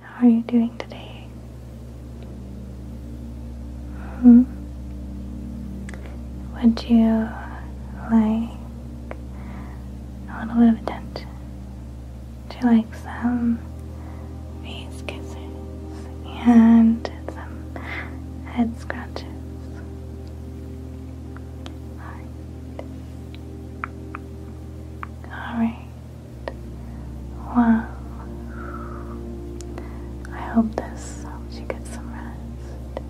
How are you doing today? Hmm? Would you like a little bit of dent? Do you like some face kisses and some head scratches? Alright. Alright. Wow. I hope this helps you get some rest.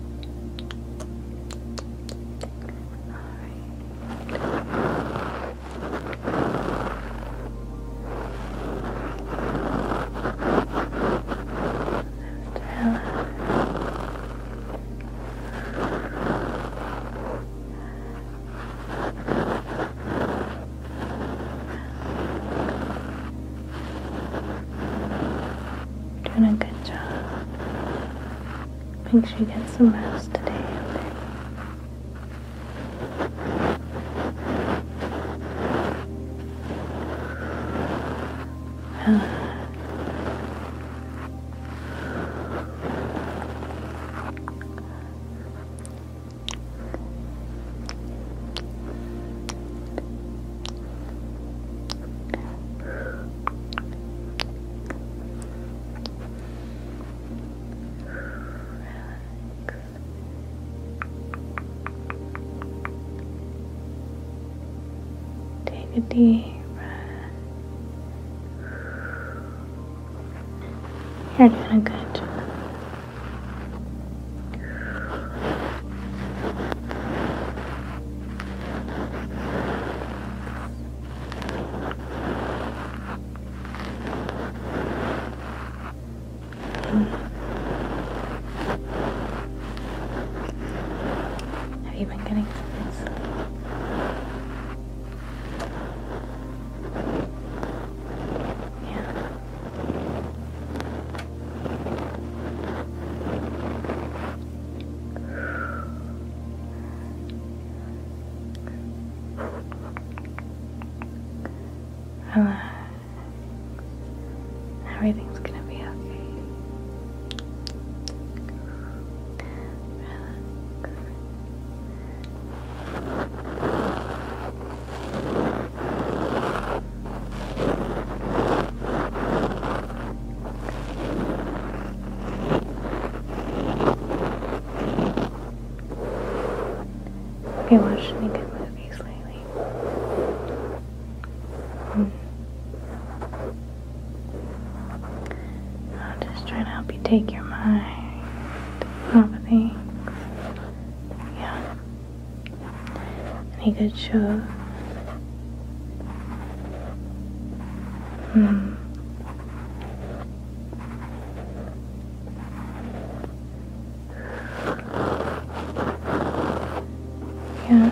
Alright. Just relax. Doing a good job. Make sure you get some rest today, Take a deep breath. You're doing good. Have you been getting yeah. Relax. Everything's gonna be okay. Relax. Have you watched any good movies lately? Hmm i am just trying to help you take your mind off of things. Yeah. Any good show? Hmm. Yeah.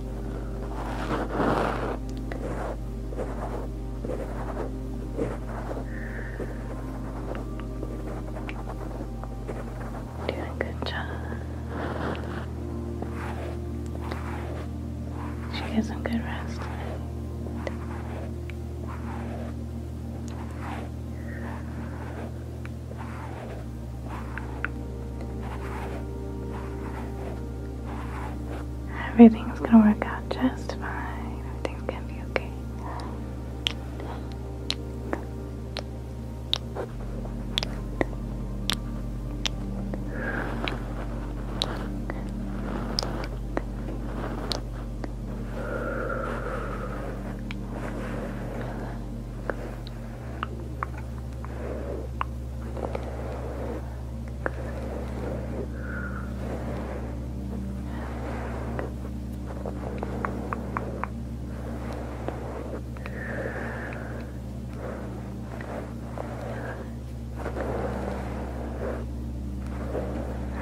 Doing a good job. She gets a good rest. Everything's gonna work out just fine. Everything's gonna be okay.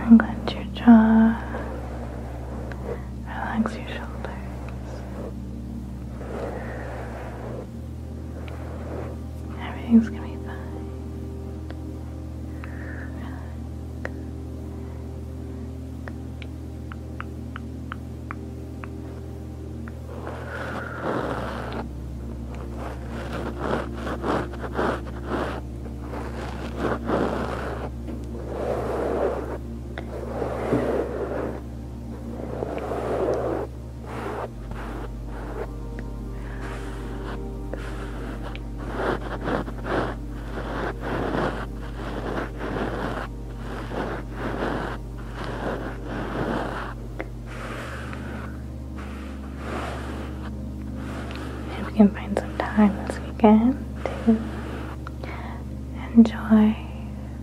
And clench your jaw, relax your shoulders. Everything's gonna be fine. If we can find some time this weekend to enjoy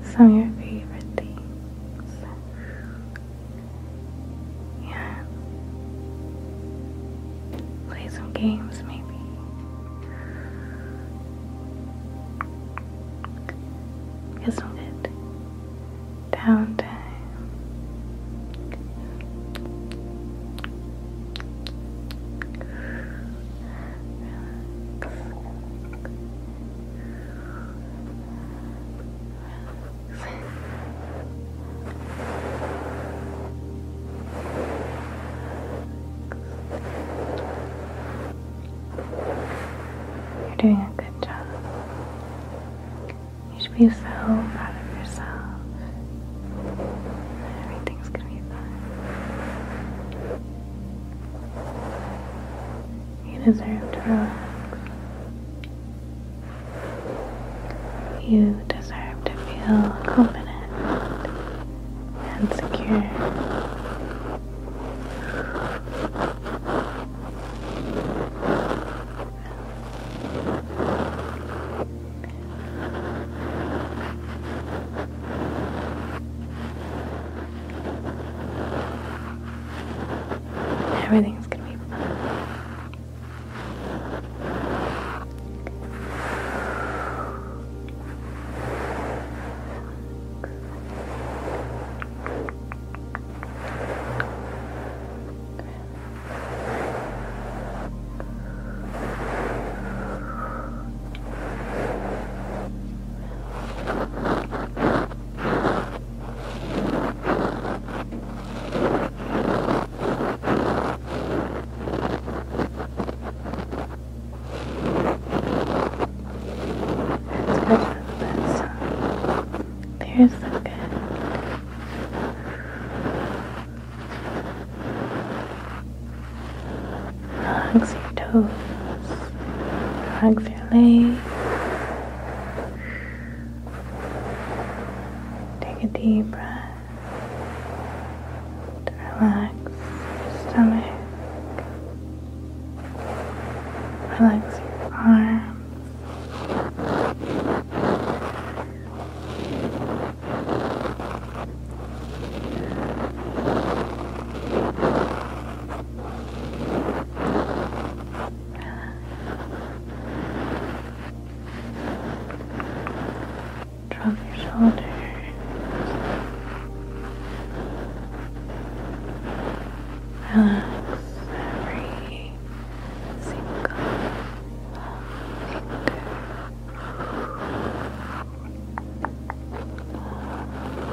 some of your favorite things. Yeah. Play some games, maybe. Get some good downtime. You're doing a good job. You should be so proud of yourself. Everything's gonna be fine. You deserve to feel confident and secure. Everything's gonna be fun. They're so good. Hugs your toes. Hugs your legs. Take a deep breath to relax your stomach, relax your arms. Drop your shoulders. Relax every single finger. Relax.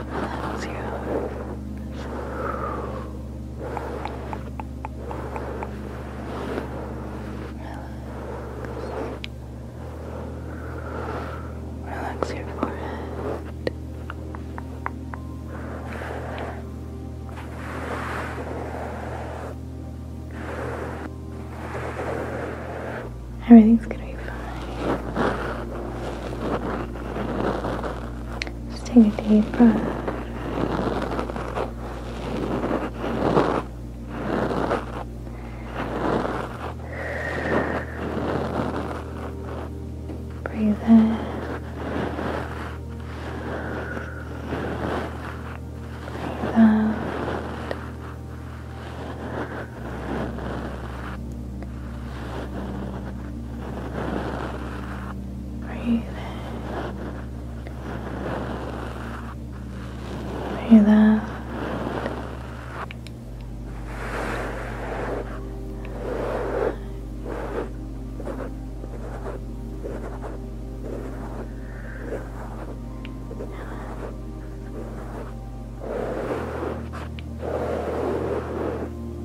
Relax your forehead. Everything's gonna be fine. Just take a deep breath. Breathe in. Breathe out. Breathe in. Breathe out. Breathe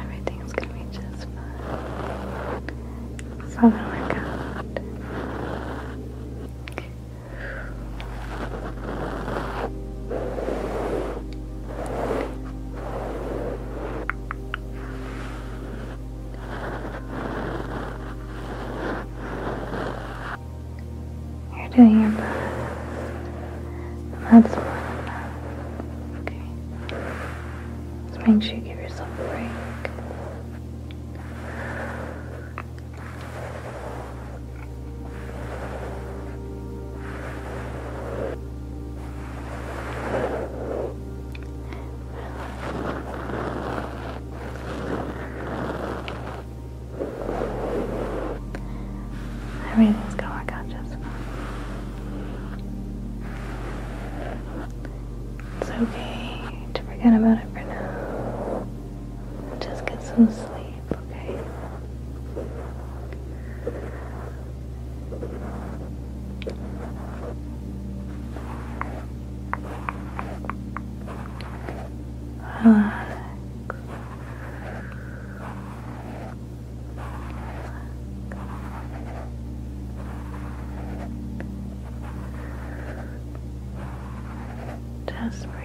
Everything's gonna be just fine. It's all going you're doing your best. That's more than enough. Okay. Just make sure you give yourself a break. Everything's gonna work out just fine. It's okay to forget about it for now. Just get some sleep, okay? Relax. Relax. Just breathe.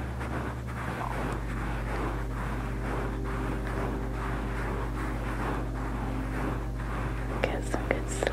Get some good sleep.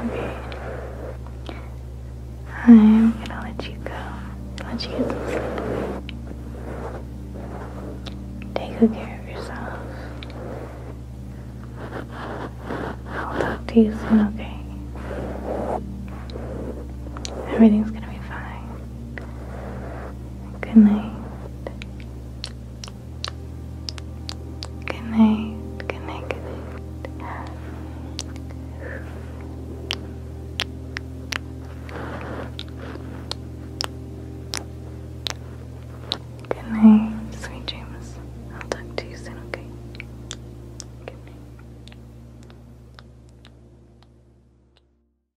Okay. I'm gonna let you go. Let you get some sleep. Take good care of yourself. I'll talk to you soon, okay? Everything's gonna be fine. Good night. Good night. Good night. Good night. sweet James, I'll talk to you soon, okay? Good night.